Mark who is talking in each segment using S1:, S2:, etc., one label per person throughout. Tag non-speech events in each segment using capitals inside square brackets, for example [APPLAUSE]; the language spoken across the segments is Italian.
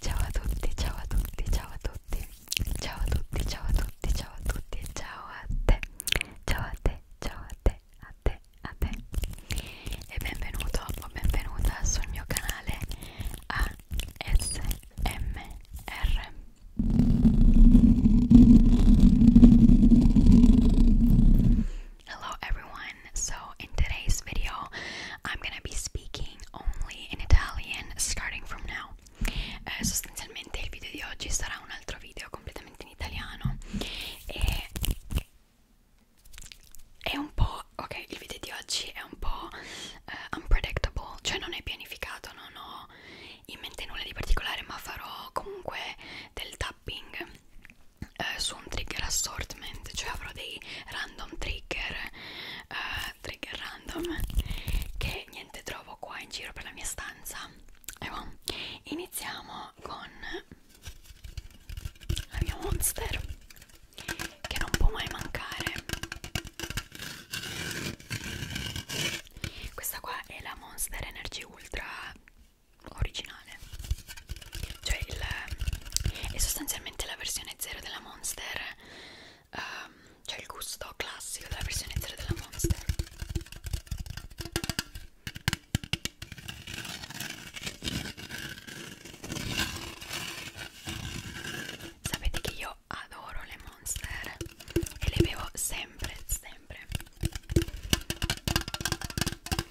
S1: Ciao a tutti, ciao a tutti, ciao a tutti, ciao a tutti, ciao a tutti, ciao a tutti, ciao a te, ciao a te, ciao a te, a te, a te e benvenuto o benvenuta sul mio canale ASMR. Hello everyone. So in today's video, I'm going to be speaking only in Italian starting from now. Eh, sostanzialmente il video di oggi sarà un altro video completamente in italiano e è un po' ok, il video di oggi è un po' uh, unpredictable, cioè non è pianificato, non ho in mente nulla di particolare, ma farò comunque del tapping eh, su un trigger assortment cioè avrò dei random trigger eh, trigger random che niente trovo qua in giro per la mia stanza e bon, iniziamo con la mia monster che non può mai mancare questa qua è la monster energy ultra originale originale cioè il, è eh, sostanzialmente la versione 0 della Monster um, cioè il gusto classico della versione 0 della Monster sapete che io adoro le Monster e le bevo sempre sempre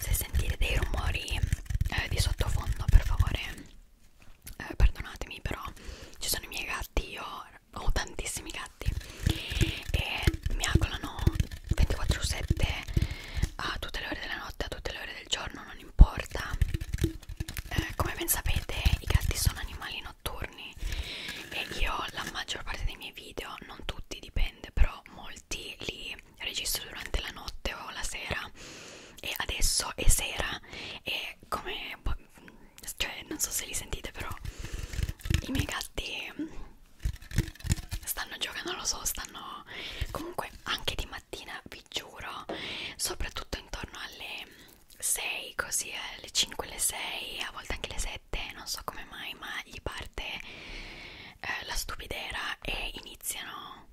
S1: se sentite dei rumori eh, di sottofondo per favore eh, perdonatemi però ci sono i miei gatti io ho tantissimi gatti e mi accolano 24 su 7 a tutte le ore della notte a tutte le ore del giorno non importa eh, come ben sapete i gatti sono animali notturni e io la maggior parte dei miei video non tutti dipende però molti li registro durante la notte o la sera e adesso è sera e come boh, cioè non so se li sentite però i miei gatti stanno giocando non lo so stanno comunque anche di mattina vi giuro soprattutto intorno alle 6 così alle 5 alle 6 a volte anche alle 7 non so come mai ma gli parte parte eh, la stupidera e iniziano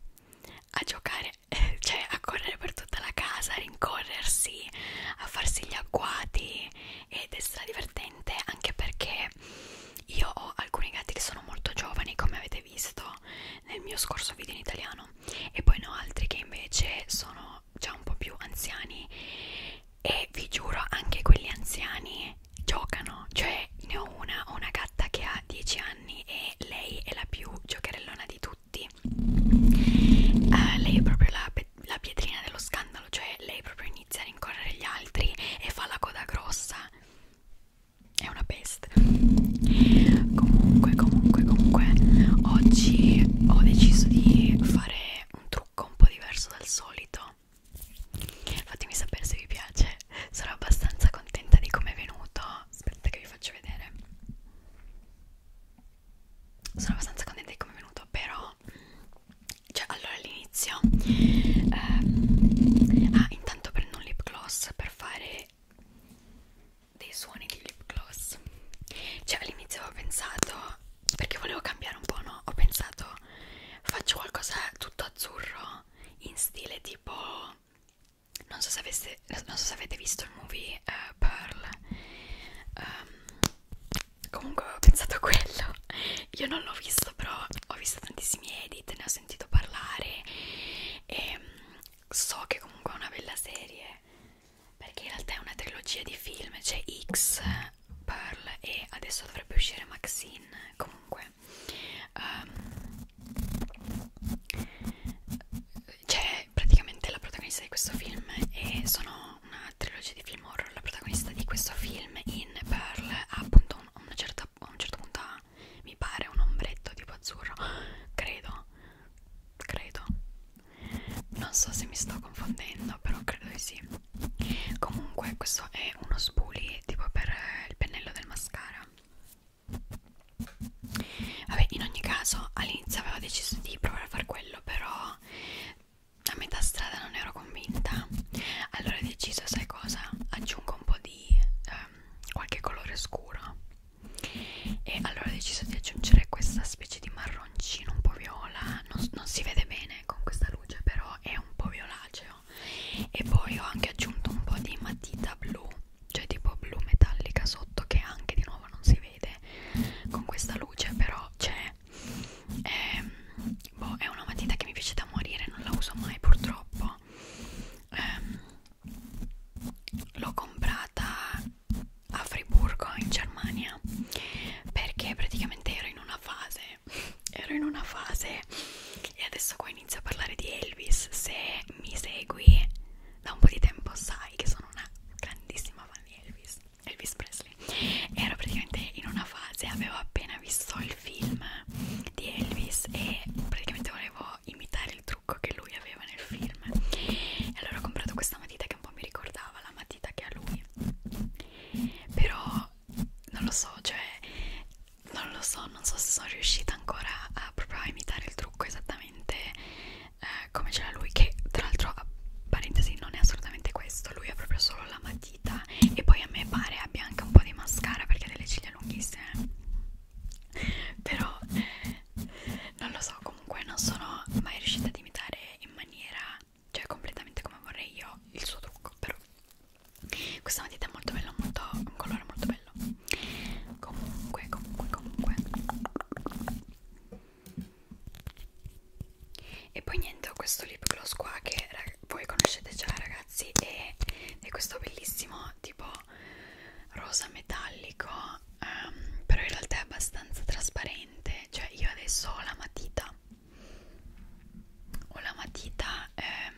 S1: a giocare, eh, [LAUGHS] cioè a correre per tutta la casa, a rincorrersi, a farsi gli agguati ed è stra divertente anche perché io ho alcuni gatti che sono molto giovani come avete visto nel mio scorso video in italiano e poi ne ho altri che invece sono già un po' più anziani e vi giuro anche quelli anziani giocano cioè ne ho una ho una gatta che ha 10 anni e lei è la più giocherellona di tutti uh, lei è proprio la, la pietrina dello scandalo cioè lei proprio inizia a rincorrere gli altri e fa la coda grossa è una peste comunque comunque comunque oggi ho deciso di fare un trucco un po' diverso dal solito no fatemi sapere se vi piace sono abbastanza contenta di come è venuto aspetta che vi faccio vedere sono abbastanza contenta di come è venuto però cioè allora all'inizio ehm, ah intanto prendo un lip gloss per fare dei suoni di lip gloss cioè all'inizio avevo pensato perché volevo cambiare un po', no? Ho pensato faccio qualcosa tutto azzurro in stile tipo non so se, aveste, non so se avete visto il movie uh, Pearl um, comunque ho pensato a quello io non l'ho visto però ho visto tantissimi edit ne ho sentito parlare e ehm, so che comunque è una bella serie perché in realtà è una trilogia di film c'è X Pearl e adesso dovrebbe uscire Maxine comunque um, c'è praticamente la protagonista di questo film e sono una trilogia di film horror la protagonista di questo film in Pearl ha appunto un, una certa, a un certo punto ha, mi pare un ombretto tipo azzurro credo credo non so se mi sto confondendo però credo di sì comunque questo è uno spoolie tipo per eh, il pennello del mascara vabbè in ogni caso all'inizio avevo deciso di provare a fare quello però a metà strada non ero convinta allora ho deciso sai cosa aggiungo un po' di ehm, qualche colore scuro e allora ho deciso di aggiungere questa specie di marroncino un po' viola non, non si vede bene con questa luce però è un po' violaceo e poi ho anche aggiunto un po' di matita blu cioè tipo blu metallica sotto che anche di nuovo non si vede con questa luce però c'è è, ehm, boh, è una matita che mi piace da morire non la uso mai purtroppo eh, l'ho comprata a Friburgo in Germania perché praticamente ero in una fase ero in una fase e adesso qua inizio a parlare di Elvis se mi segui da un po' di tempo sai che sono una grandissima fan di Elvis Elvis Presley ero praticamente in una fase avevo appena visto il film di Elvis e praticamente volevo imitare il trucco che lui aveva nel film e allora ho comprato questa matita che un po' mi ricordava la matita che ha lui però non lo so cioè non lo so non so se sono riuscita ancora a, proprio a imitare il trucco esattamente eh, come ce l'ha lui che tra l'altro parentesi non è assolutamente questo lui ha proprio solo la matita e poi a me pare abbia anche un po' di mascara perché ha delle ciglia lunghissime però non lo so comunque non sono mai riuscita ad imitare in maniera cioè completamente come vorrei io il suo trucco però questa matita è molto bella molto un colore molto bello comunque comunque comunque e poi niente ho questo lip gloss qua che voi conoscete già ragazzi e è questo bellissimo tipo rosa metallico um, però in realtà è abbastanza trasparente cioè io adesso ho la matita ho la matita ehm,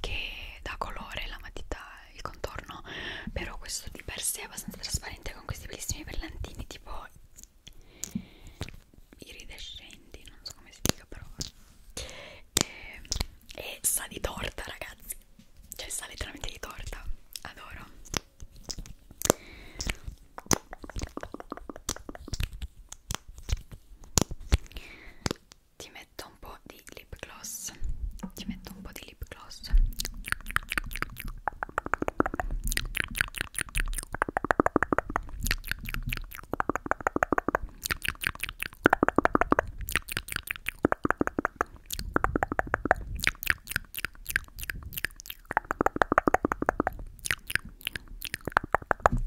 S1: che dà colore, la matita, il contorno, però questo di per sé è abbastanza trasparente con questi bellissimi brillantini tipo iridescenti, non so come si dica però ehm, e, e sa di torta ragazzi, cioè sa letteralmente di torta, adoro ti metto un po' di lip gloss ti metto un po' di lip gloss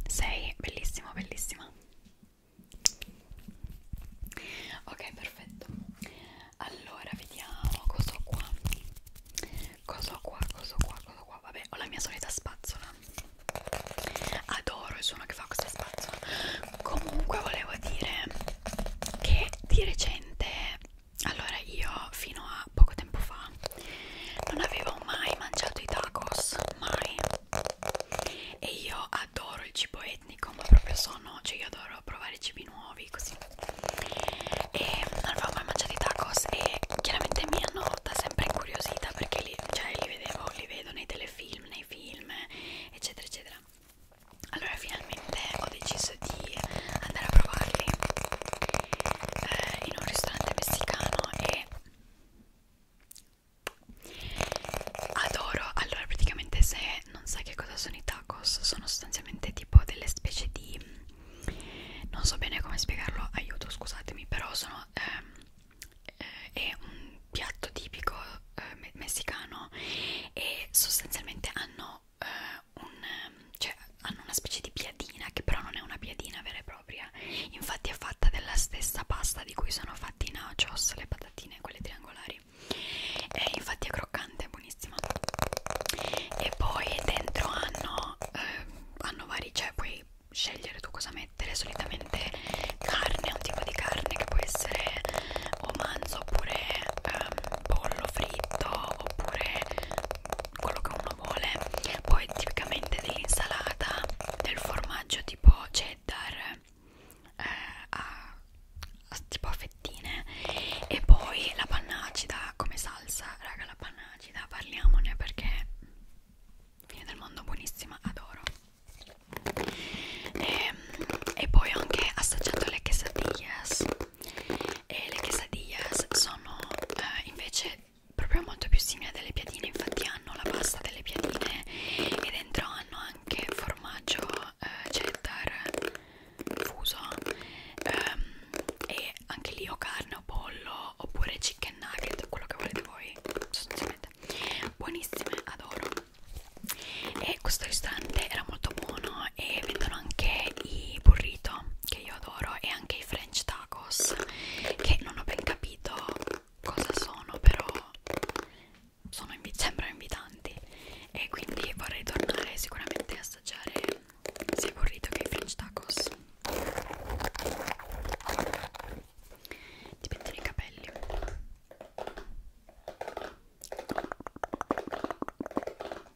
S1: sei bellissimo, bellissima. Ok, perfetto. Allora, vediamo cosa ho qua. Cosa ho qua, cosa ho qua, cosa ho qua. Vabbè, ho la mia solita spazzola. Adoro il suono che fa questa spazzola. Comunque volevo dire che di recente allora io fino a poco tempo fa non avevo mai mangiato i tacos mai e io adoro il cibo etnico ma proprio sono cioè io adoro provare cibi nuovi così e non avevo mai mangiato i tacos e chiaramente mi hanno da sempre incuriosita perché li, cioè, li vedevo li vedo nei telefilm nei film eccetera eccetera allora finalmente ho deciso chance di andare a provarli eh, in un ristorante messicano e adoro allora praticamente se non sai che cosa sono i tacos sono sostanzialmente tipo delle specie di non so bene come spiegarlo aiuto scusatemi però sono eh, eh, è un piatto tipico eh, messicano e sostanzialmente hanno eh, un, cioè, hanno una specie di piadina che però non è una piadina vera e propria infatti è fatta della stessa pasta di cui sono fatti i nachos le patatine quelle triangolari e infatti è croccante è buonissima e poi dentro hanno eh, hanno vari cioè puoi scegliere tu cosa mettere solitamente carne un tipo di carne che può essere o manzo oppure ehm, pollo fritto oppure quello che uno vuole poi tipicamente dell'insalata del formaggio tipo cheddar eh, a, a, tipo a fettine e poi la panna acida come salsa raga la panna acida parliamone perché fine del mondo buonissima adoro e, ehm, e poi ho anche assaggiato le quesadillas e le quesadillas sono eh, invece proprio molto più simili a delle piadine infatti hanno la pasta delle piadine e dentro hanno anche formaggio eh, cheddar fuso ehm, e anche lì o carne o pollo oppure chicken nugget quello che volete voi sostanzialmente buonissime adoro e questo ristorante era molto buono buonissimo e vendono anche i burrito che io adoro e anche i french tacos che non ho ben capito cosa sono però sono sembrano invitanti e quindi vorrei tornare sicuramente a assaggiare sia il burrito che i french tacos ti mettono i capelli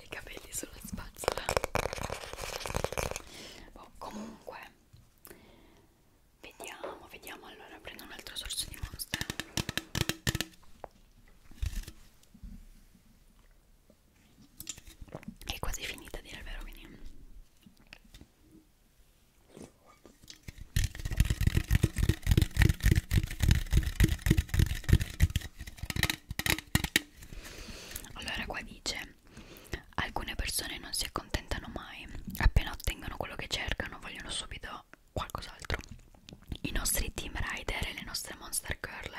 S1: i capelli sulla spazzola oh, comunque vediamo vediamo allora prendo un altro sorso di monster è quasi finita a dire il vero quindi allora qua dice alcune persone non si accontentano mai appena ottengono quello che cercano vogliono subito qualcos'altro i nostri team rider e le nostre monster girl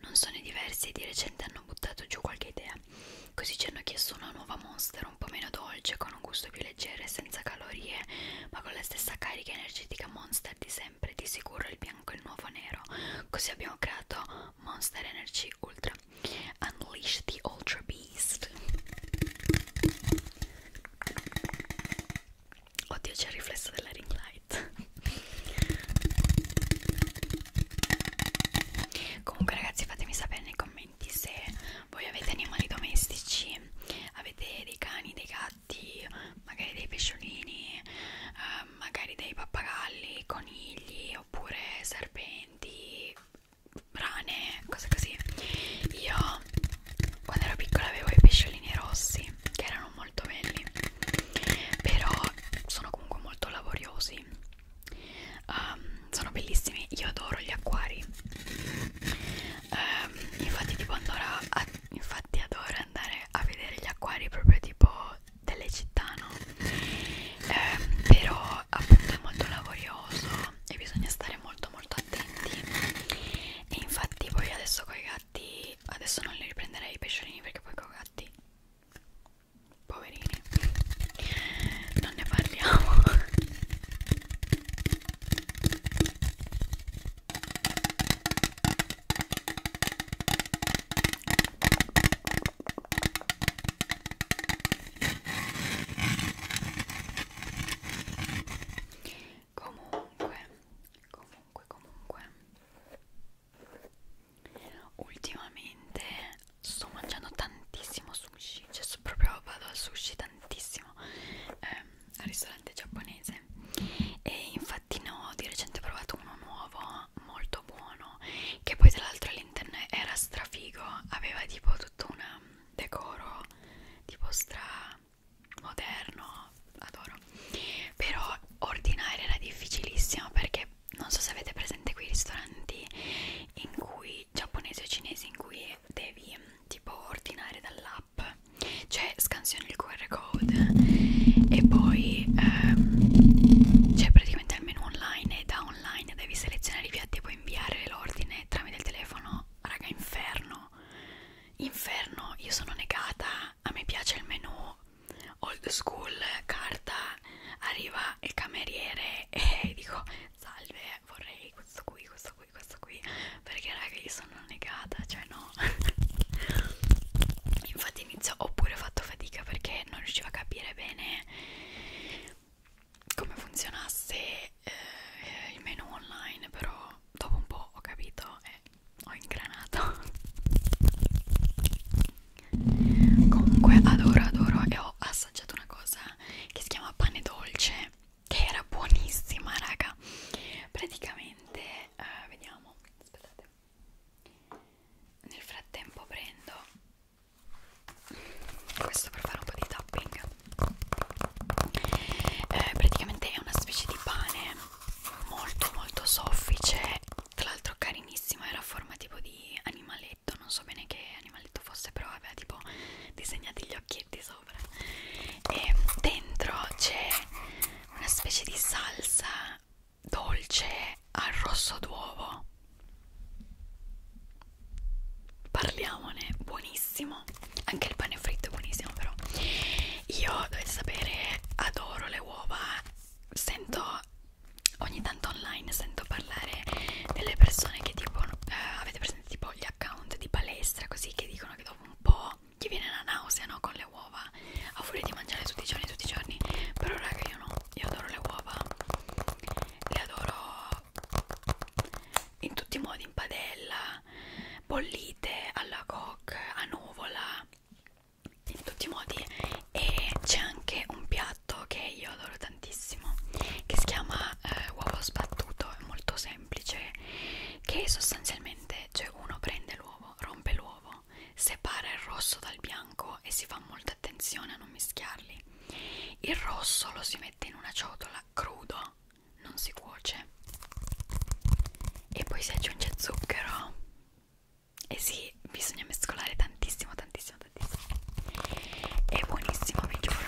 S1: non sono diversi e di recente hanno buttato giù qualche idea così ci hanno chiesto una nuova monster un po' meno dolce con un gusto più leggero e senza calorie ma con la stessa carica energetica monster di sempre di sicuro il bianco bianco e il nuovo nero così abbiamo creato Monster Energy Ultra Unleash the Ultra Beast oddio c'è il riflesso della ring light comunque ragazzi fatemi sapere nei commenti se voi avete animali domestici avete dei cani, dei gatti magari dei pesciolini eh, magari dei pappagalli, conigli oppure serpenti, rane, cose così. Io quando ero piccola avevo i pesciolini rossi che erano molto belli, però sono comunque molto laboriosi. Um, sono bellissimi, io adoro gli acquari. Um, infatti, tipo, andora, infatti adoro andare a vedere gli acquari proprio tipo delle città, no? Eh, però appunto è molto laborioso e bisogna stare molto molto attenti e infatti poi adesso con i gatti adesso non li riprenderei i pesciolini perché poi con i gatti poverini non ne parliamo [LAUGHS] Comunque, comunque, comunque, ultimamente sto mangiando tantissimo sushi, cioè proprio vado al sushi tantissimo. Eh, al ristorante cioccolante giapponese e infatti no, di recente ho provato uno nuovo molto buono che poi tra l'altro all'interno era strafigo, aveva tipo tutto un mm, decoro tipo stra moderno, adoro. Però ordinare era difficilissimo perché non so se avete presente quei ristoranti in cui giapponesi o cinesi in cui devi mm, tipo ordinare dall'app cioè scansioni il QR code e poi ehm, c'è praticamente il menu online e da online devi selezionare i piatti e poi inviare l'ordine tramite il telefono raga inferno inferno io sono negata a me piace il menu old school carta arriva il cameriere e dico salve vorrei questo qui questo qui questo qui perché raga io sono sono una negata, cioè no [LAUGHS] infatti inizio ho pure fatto fatica perché non riuscivo a capire bene come funzionasse eh, il menu online però dopo un po' ho capito e ho ingranato [LAUGHS] comunque adoro adoro e ho assaggiato una cosa che si chiama pane dolce che era buonissima raga praticamente eh, vediamo aspettate nel frattempo prendo questo per fare un po' di tapping eh, praticamente è una specie di pane molto molto soffice tra l'altro carinissima era a forma tipo di animaletto non so bene che animaletto fosse però aveva tipo disegnati gli occhietti sopra e dentro c'è una specie di salsa dolce al rosso d'uovo parliamone buonissimo anche il pane fritto è buonissimo però io dovete sapere adoro le uova sento ogni tanto online sento parlare delle persone che tipo eh, avete presente tipo gli account di palestra così che dicono che dopo un po' ti viene la nausea no? con le uova a furia di mangiare tutti i giorni tutti i giorni però raga io no io adoro le uova le adoro in tutti i modi in padella bollite alla coque a nuvola in tutti i modi e c'è anche un piatto che io adoro tantissimo che si chiama eh, uovo sbattuto è molto semplice semplice che sostanzialmente cioè uno prende l'uovo, rompe l'uovo, separa il rosso dal bianco e si fa molta attenzione a non mischiarli. Il rosso lo si mette in una ciotola crudo, non si cuoce. E poi si aggiunge zucchero. E sì, bisogna mescolare tantissimo, tantissimo, tantissimo. È buonissimo, vi giuro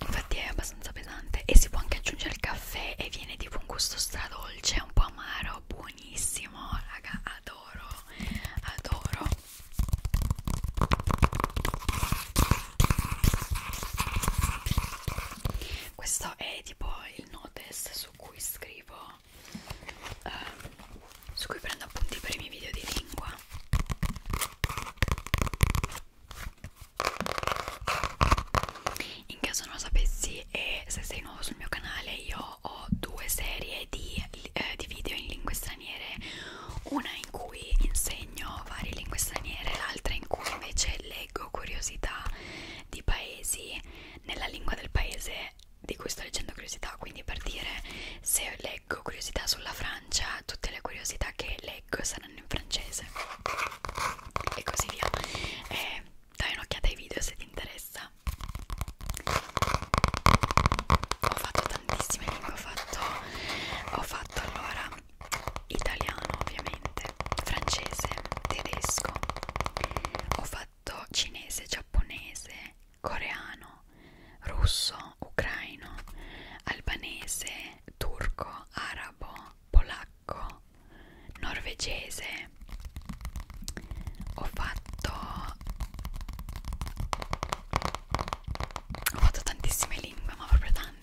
S1: infatti è abbastanza pesante e si può anche aggiungere il caffè e viene tipo un gusto stradolce un po' amaro buonissimo raga adoro adoro questo è tipo il notice su cui scrivo eh, su cui prendo appunti per i miei video di lingua in caso non lo sapessi e se sei nuovo sul mio canale io ho due serie di, eh, di video in lingue straniere una in cui insegno varie lingue straniere l'altra in cui invece leggo curiosità di paesi nella lingua del paese di cui sto leggendo curiosità quindi per dire se leggo curiosità sulla Francia tutte le curiosità che leggo saranno saranno in francese e così via e dai un'occhiata ai video se ti interessa ho fatto tantissime lingue ho fatto, ho fatto allora italiano ovviamente francese tedesco ho fatto cinese giapponese coreano russo ucraino albanese turco, arabo, polacco, norvegese. Ho fatto Ho fatto tantissime lingue, ma proprio tante.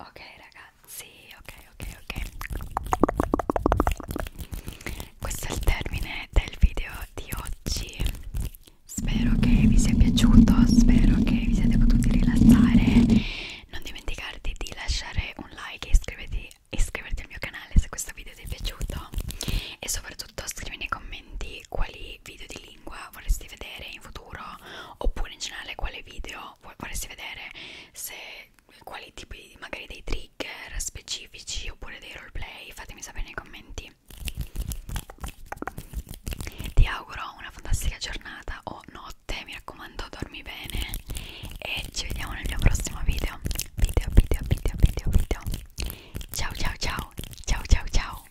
S1: Ok ragazzi, ok, ok, ok. Questo è il termine del video di oggi. Spero che vi sia piaciuto, spero che vi siate potuti rilassare. Non dimenticarti di lasciare un like e iscriverti, iscriverti al mio canale se questo video ti è piaciuto. E soprattutto scrivi nei commenti quali video di lingua vorresti vedere in futuro, oppure in generale quale video vorresti vedere, se quali tipi magari dei trigger specifici oppure dei roleplay, fatemi sapere nei commenti così ti auguro una fantastica giornata o notte mi raccomando dormi bene e ci vediamo nel mio prossimo video video video video video video ciao ciao ciao ciao ciao ciao